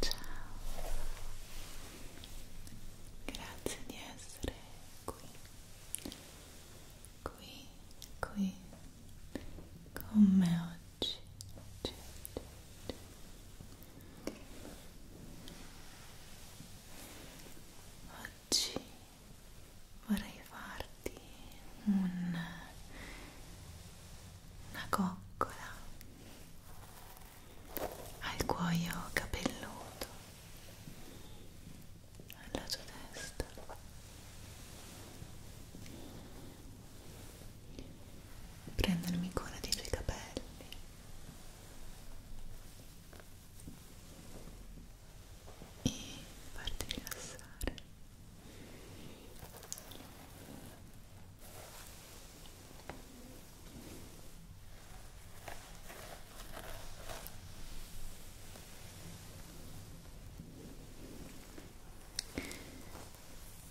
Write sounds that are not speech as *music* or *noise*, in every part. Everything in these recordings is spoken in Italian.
Ciao, grazie di essere qui, qui, qui con me oggi. C'è, c'è, c'è oggi vorrei farti un, una coccola al cuoio capelluto alla tua testa prendermi cura dei tuoi capelli e farti rilassare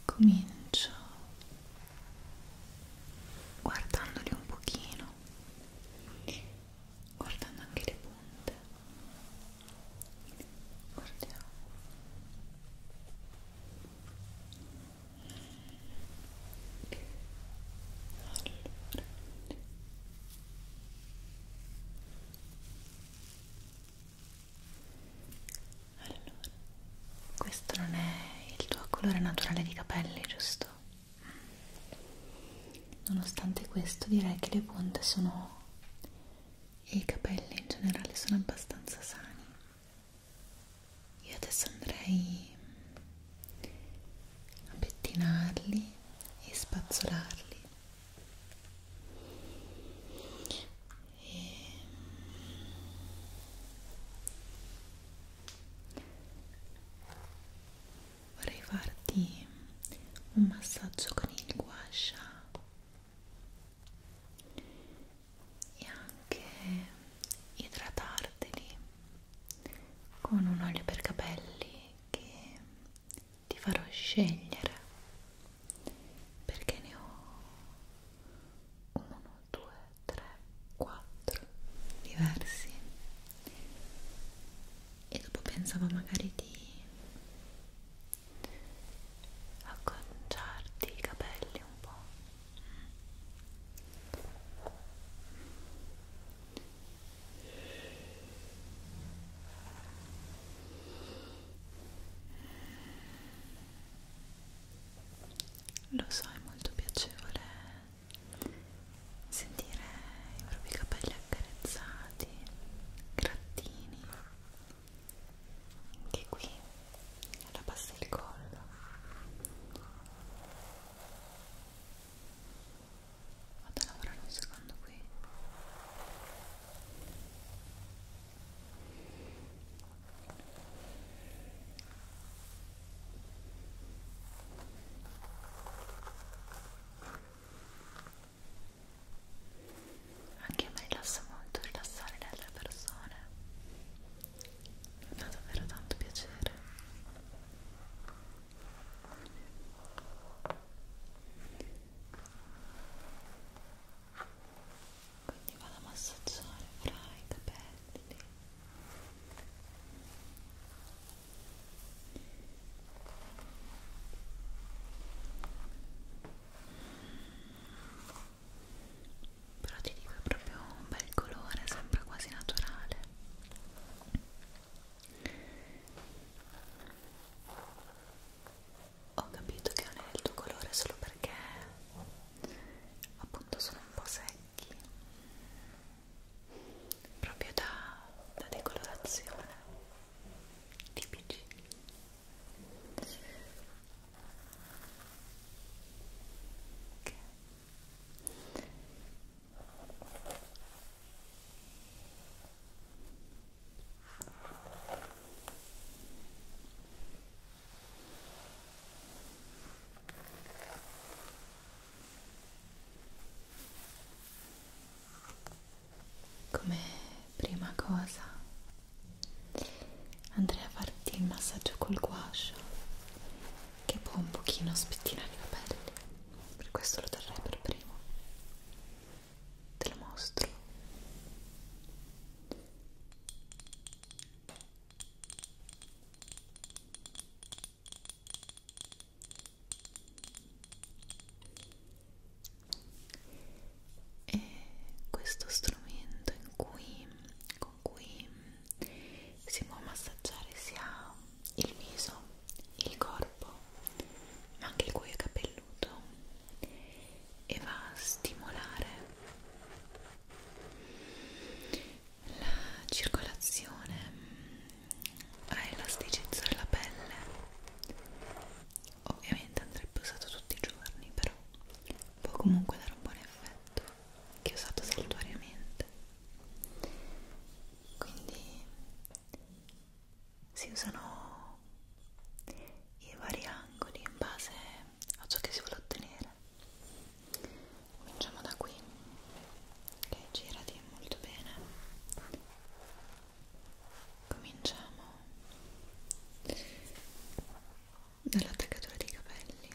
Comincio guardandoli un pochino guardando anche le punte guardiamo allora. allora questo non è il tuo colore naturale di capelli giusto? nonostante questo direi che le punte sono e i capelli in generale sono abbastanza sani io adesso andrei a pettinarli e spazzolarli e vorrei farti un massaggio con il guascia e anche idratarteli con un olio per capelli che ti farò scegliere perché ne ho 1, 2, 3, 4 diversi e dopo pensavo magari di acconciarti i capelli un po' lo so è molto piacevole sentire i propri capelli accarezzati, grattini, anche qui alla base del collo. Vado a lavorare un secondo qui anche a me rilassa molto rilassare le altre persone mi fa davvero tanto piacere quindi vado a massaggiare fra i capelli però ti dico è proprio un bel colore sembra quasi naturale ho capito che non è il tuo colore solo perché appunto sono un po' secca occhi proprio da, da decolorazione tipici okay. ok come prima cosa andrei a farti il massaggio col guascio che può un pochino spettinare i capelli per questo lo terrei per primo te lo mostro è questo strumento in cui, con cui si può massaggiare sia il viso, il corpo, ma anche il cuoio capelluto e va a stimolare la circolazione mm, ha elasticità alla pelle ovviamente andrebbe usato tutti i giorni però può comunque dare un buon effetto che è usato saltuariamente quindi si usano i vari angoli in base a ciò che si vuole ottenere cominciamo da qui ok girati molto bene cominciamo dall'attaccatura dei capelli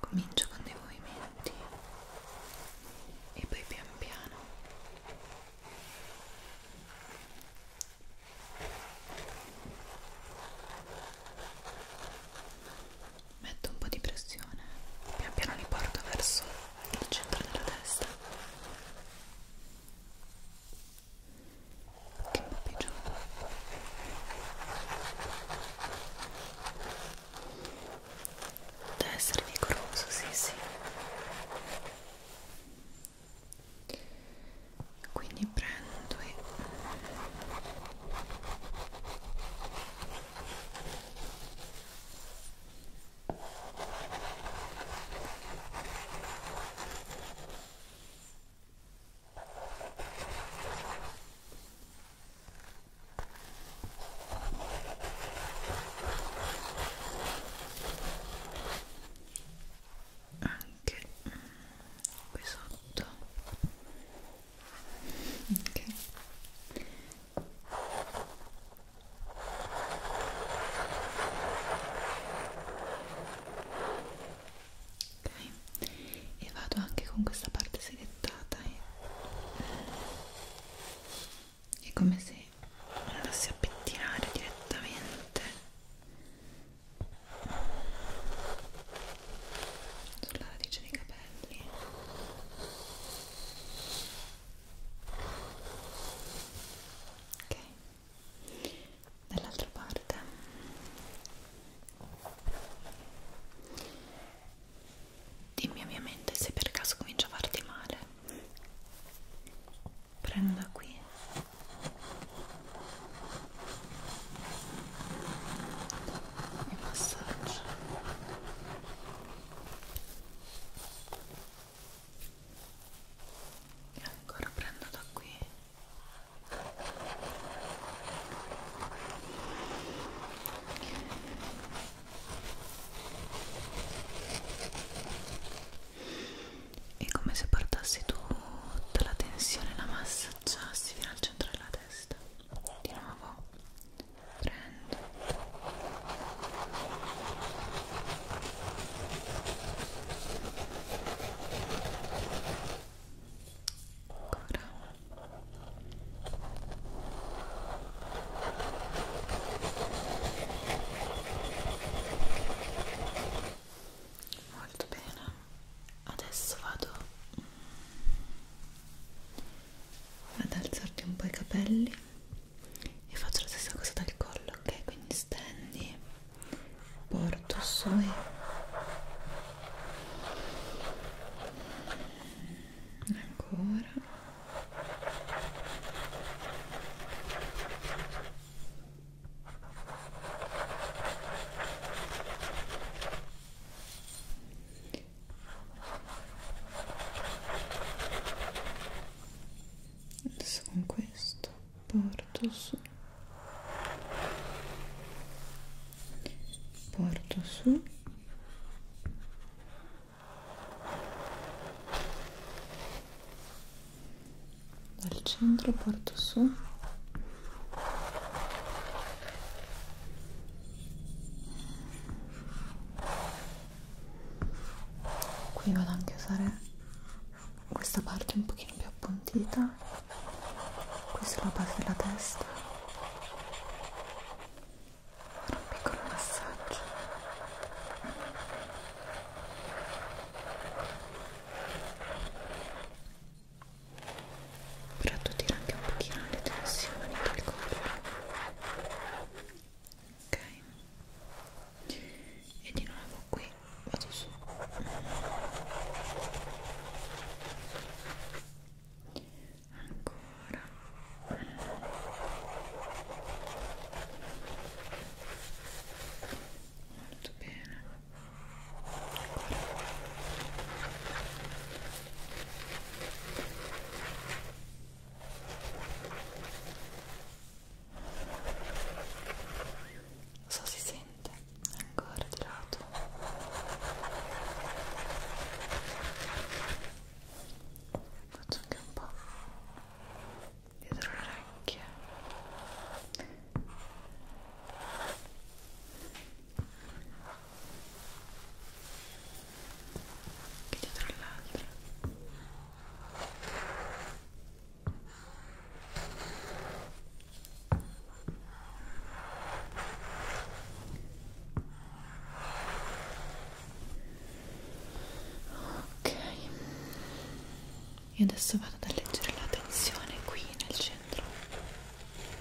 comincio con dei movimenti e poi pian piano metto un po' di pressione pian piano li porto verso il centro della testa che un po' più giù deve essere vigoroso, sì sì quindi prendo e anche qui sotto ok ok e vado anche con questa parte selettata e eh, è come se andassi a pettinare direttamente sulla radice dei capelli capelli ok dall'altra parte dimmi ovviamente se per caso comincia a farti male prendo da qui e massaggio e ancora prendo da qui e come se portassi tutta la tensione e la massaggiassi fino al centro della testa di nuovo prendo ancora molto bene adesso vado vado ad alzarti un po' i capelli e faccio la stessa cosa dal collo ok quindi stendi porto su e ancora adesso con questo porto su porto su dal centro porto su qui vado anche a usare questa parte un pochino più appuntita qui sulla base della testa fare un piccolo massaggio però tu tira anche un pochino le tensioni del corpo ok e di nuovo qui vado su ancora molto bene ancora non so si sente ancora di lato. Faccio anche un po' dietro le orecchie che dietro all'altra ok io adesso vado ad leggere la tensione qui nel centro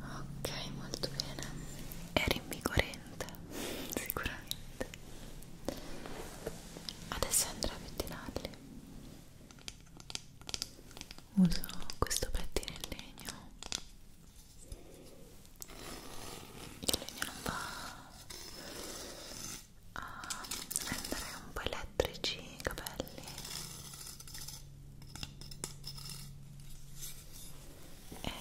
ok molto bene è rinvigorente *laughs* sicuramente adesso andrò a pettinarli uso questo pettino in legno il legno non va a rendere un po' elettrici i capelli è ehm,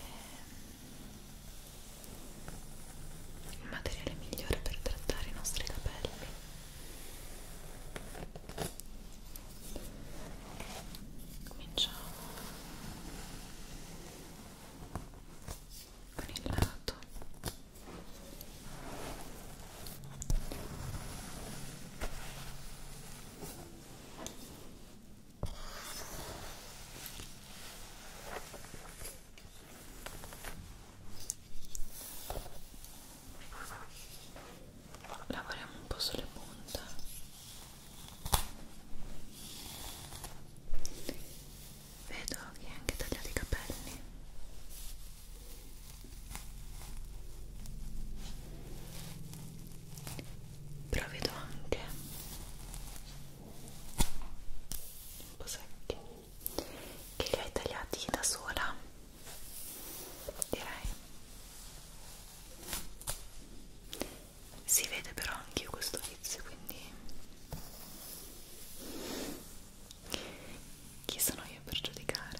il materiale migliore per trattare i nostri capelli cominciamo con il lato Lavoriamo un po' sulle punte. Vedo che hai anche tagliato i capelli però vedo anche un po' secchi che li hai tagliati da sola direi si vede però anche io questo vizio quindi chi sono io per giudicare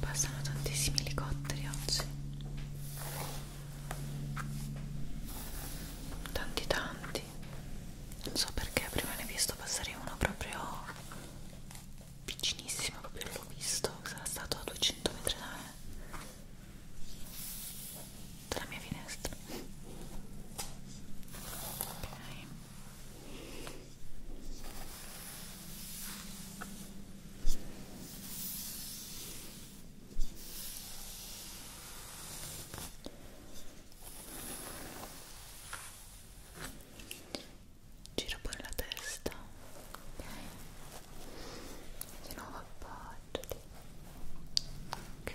Passano tantissimi elicotteri oggi. Tanti tanti. Non so perché prima ne ho visto passare uno proprio vicinissimo, proprio l'ho visto, sarà stato a 200 metri da me dalla mia finestra ok Giro pure la testa, ok? Di nuovo appoggiati. Ok.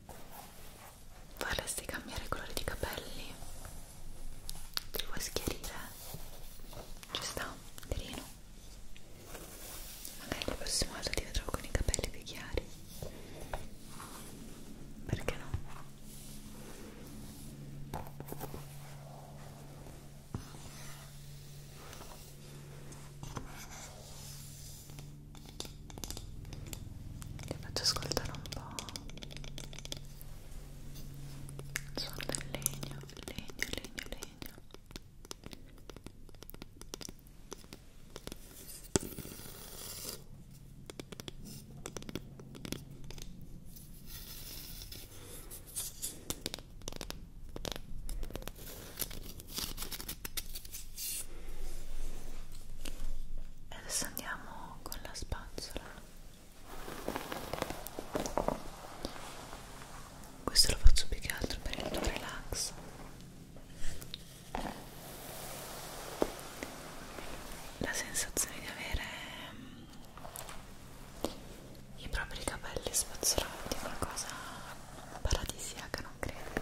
vorresti cambiare colore di capelli? Ti vuoi schiarire? Ci sta, carino. Magari la prossima volta ti vedrò con i capelli più chiari. Perché no? Ti faccio ascoltare un po' il suono del legno, legno, legno, legno e adesso andiamo con la spazzola questo lo faccio più che altro per il tuo relax la sensazione di avere mm, i propri capelli spazzolati è una cosa paradisiaca non credo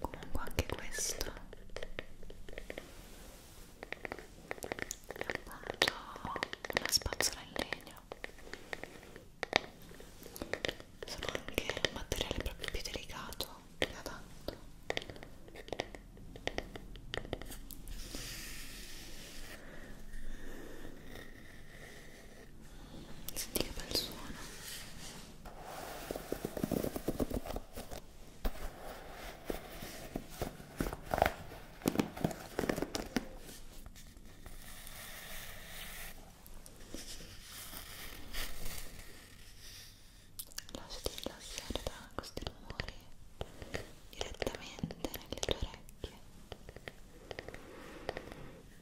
comunque anche questo è appunto una spazzola in legno sono anche un materiale proprio più delicato più adatto Senti che bel suono. Lasciati rilassare da questi rumori direttamente nelle tue orecchie.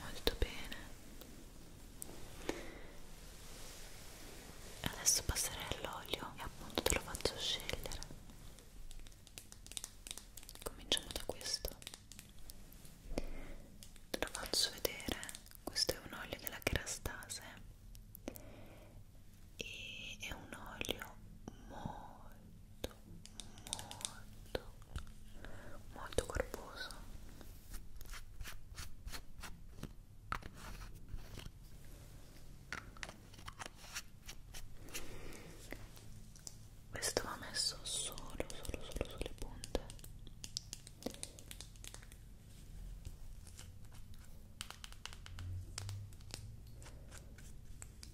molto bene adesso passerei all'olio e appunto te lo faccio scegliere cominciamo da questo te lo faccio vedere questo è un olio della Kerastase e è un olio molto molto molto corposo questo va messo solo solo solo sulle punte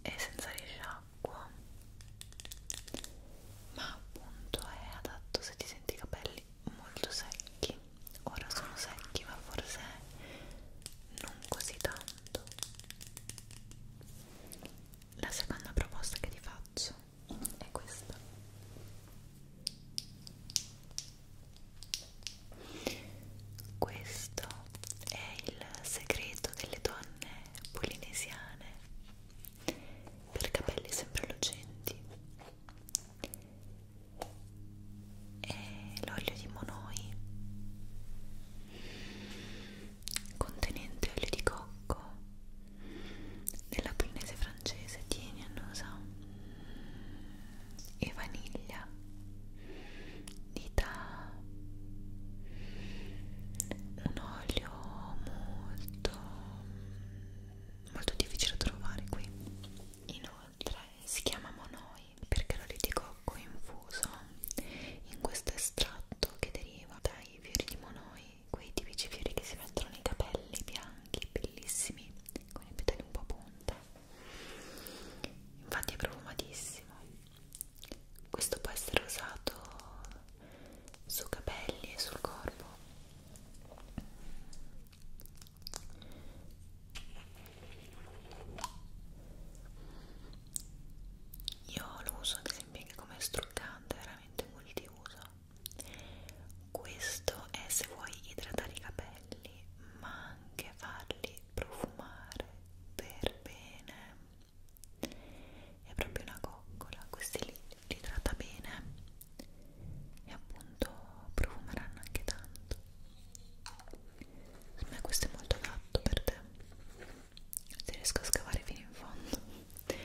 e senza risciacquo ma appunto è adatto se ti senti i capelli molto secchi ora sono secchi ma forse non così tanto la seconda proposta che ti faccio è questa questo è il segreto delle donne polinesiane per capelli sempre lucenti. È l'olio di monoi contenente olio di cocco della Polinese francese tieni annusa e vaniglia di da un olio molto molto difficile da trovare qui inoltre si chiama monoi perché l'olio di cocco è infuso in questo estratto che deriva dai fiori di monoi quei tipici fiori che si mettono nei capelli bianchi bellissimi con i petali un po' punta infatti è profumatissimo questo può essere usato su capelli e sul corpo io lo uso ad esempio anche come struccante veramente multiuso questo è se vuoi idratare i capelli ma anche farli profumare per bene è proprio una coccola questi li, li tratta bene e appunto profumeranno anche tanto secondo me questo è molto adatto per te se riesco a scavare fino in fondo *laughs*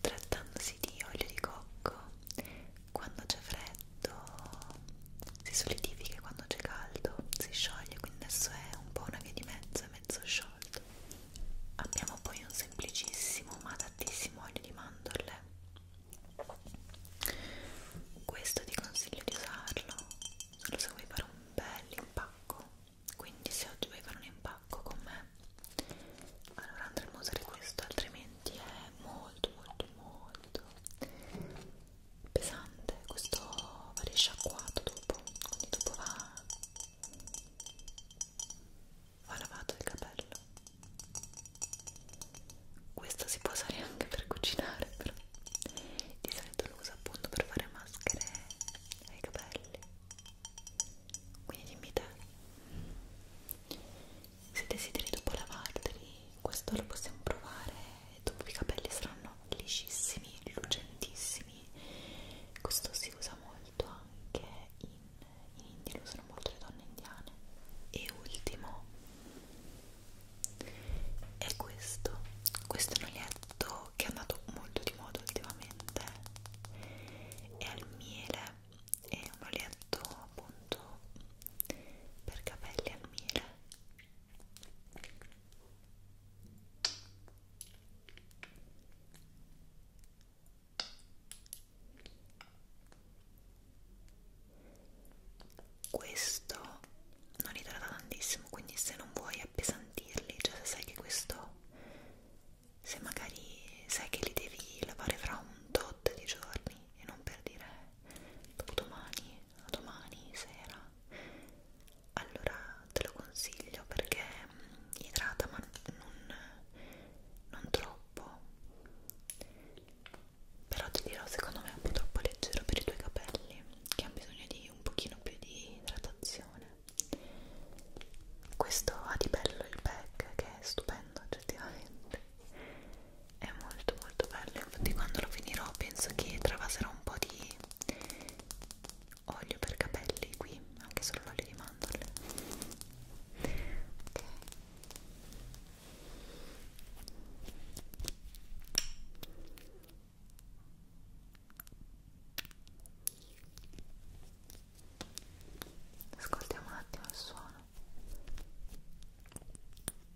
trattandosi di olio di cocco quando c'è freddo si solidifica e quando c'è caldo si scioglie quindi adesso è un po' una via di mezzo, è mezzo sciolto abbiamo poi un semplicissimo ma tantissimo olio di mandorle questo ti consiglio di usarlo solo se vuoi fare un bel impacco quindi se oggi vuoi fare un impacco con me allora andremo a usare questo altrimenti complimenti è molto molto molto pesante questo va risciacquato dopo quindi dopo va va lavato il capello questo si può usare anche per cucinare però di solito lo uso appunto per fare maschere ai capelli quindi dimmi te se desideri dopo lavarli questo lo possiamo provare dopo i capelli saranno liscissimi, lucentissimi questo si usa molto anche in, in India, lo usano molto le donne indiane e ultimo è questo questo è un olietto che è andato molto di moda ultimamente è al miele è un olietto appunto per capelli al miele questo non idrata tantissimo quindi se non vuoi appesantirli cioè se sai che questo se magari sai che li devi lavare fra un tot di giorni e non per dire dopodomani a domani sera allora te lo consiglio perché mm, idrata ma non, non troppo però ti dirò secondo me è un po' troppo leggero per i tuoi capelli che hanno bisogno di un pochino più di idratazione questo ha di bello il pack che è stupendo oggettivamente è molto molto bello infatti quando lo finirò penso che travaserò un po' di olio per capelli qui anche solo l'olio di mandorle ok Ascoltiamo un attimo il suono.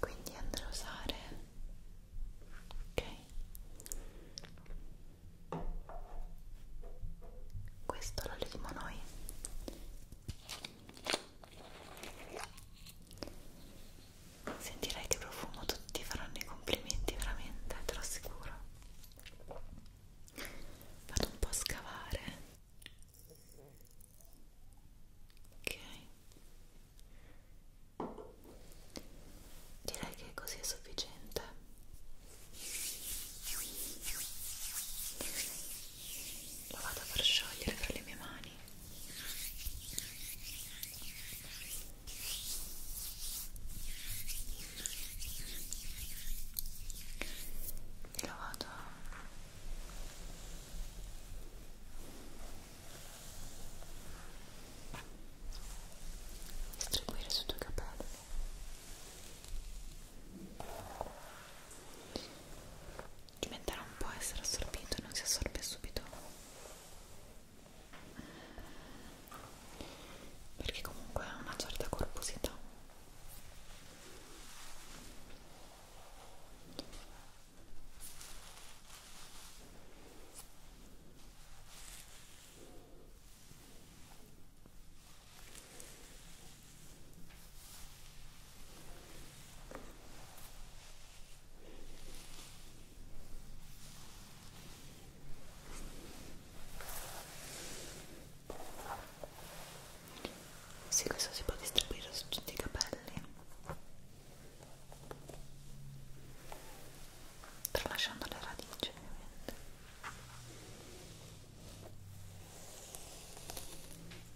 quindi andrò a usare ok questo lo leviamo noi Sentirai che profumo tutti ti faranno i complimenti, veramente, te lo assicuro. Vado un po' a scavare. Ok. Direi che così è sufficiente lo vado a far sciogliere fra le mie mani e lo vado a distribuire su due capelli diventerà un po' essere assorbito e non si assorbe subito perché comunque ha una certa corposità sì, questo si può distribuire su tutti i capelli tralasciando le radici ovviamente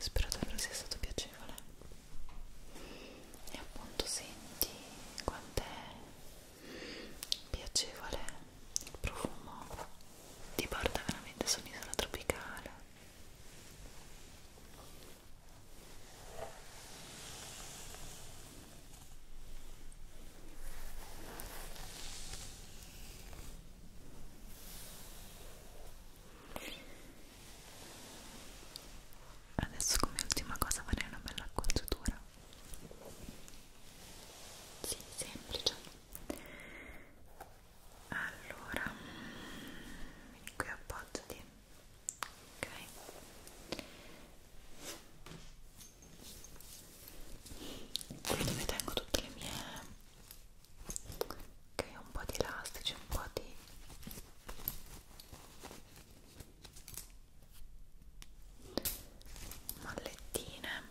Spero davvero sia stato piacevole e appunto senti quant'è piacevole il profumo ti porta veramente su un'isola tropicale Adesso come ultima cosa farei una bella acconciatura. Sì, semplice allora mm, qui appoggiati ok qui dove tengo tutte le mie ok un po' di elastici un po' di mallettine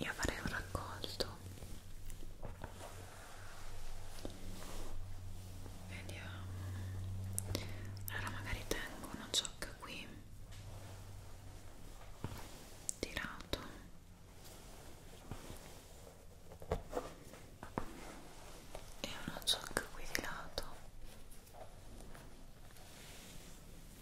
io farei un raccolto vediamo allora magari tengo una ciocca qui tirato e una ciocca qui di lato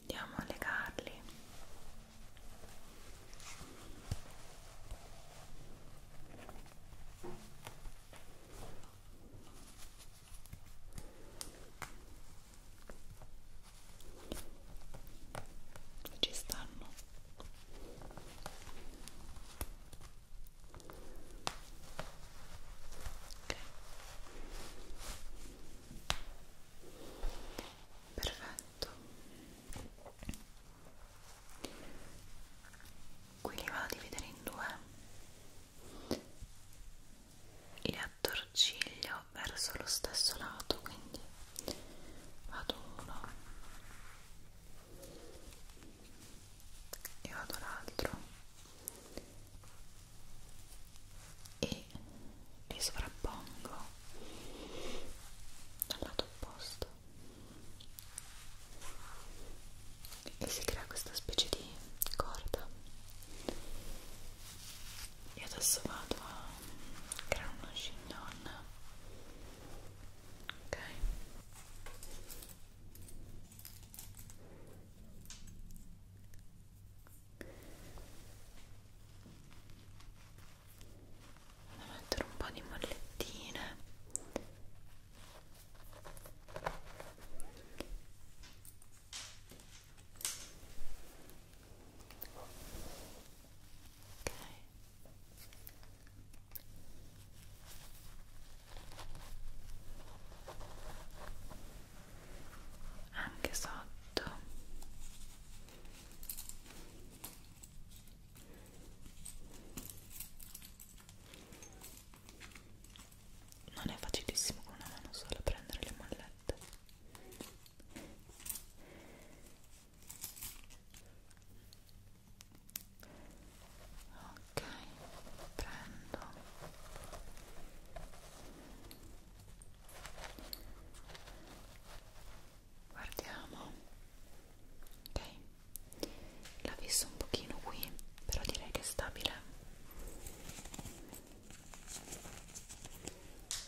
Andiamo a legarli ci stanno ok perfetto qui li vado a dividere in due le attorciglio verso lo stesso lato quindi vado uno e vado l'altro e li sovrappongo dal lato opposto e si crea questa specie di corda io adesso vado a creare uno chignon ok vado a mettere un po' di mollettine anche sotto non è facilissimo con una mano sola prendere le mollette ok prendo guardiamo ok la visto un pochino qui però direi che è stabile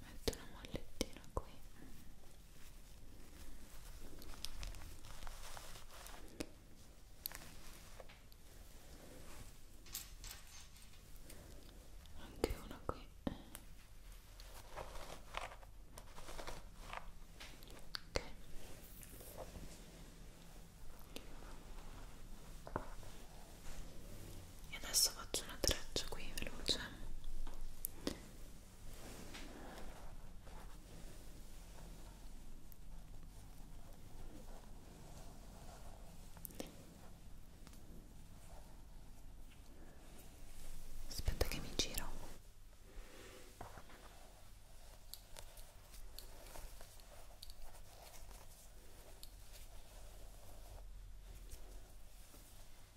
metto una mollettina qui anche una qui ok e adesso faccio una treccia qui veloce aspetta che mi giro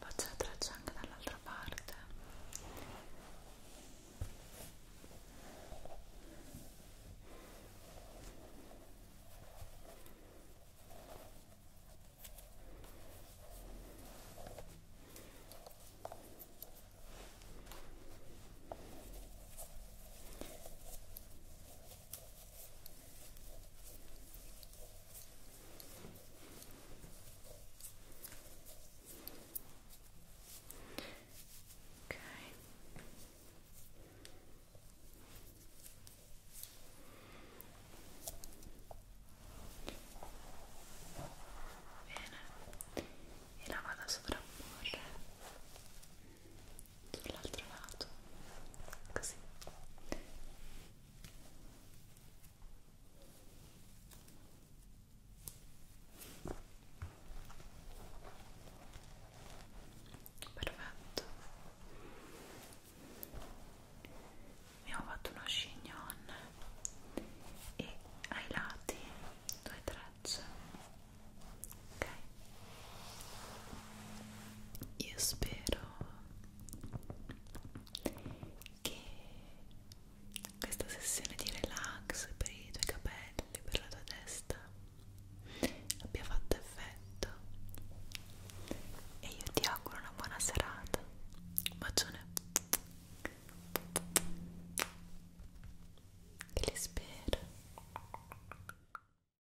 faccio la traccia anche dall'altra parte ok bene e la vado a sovrapporre sull'altro lato così perfetto abbiamo fatto uno chignon e ai lati due trecce ok io spero che questa sessione di relax per i tuoi capelli per la tua testa abbia fatto effetto e io ti auguro una buona serata un bacione e li spero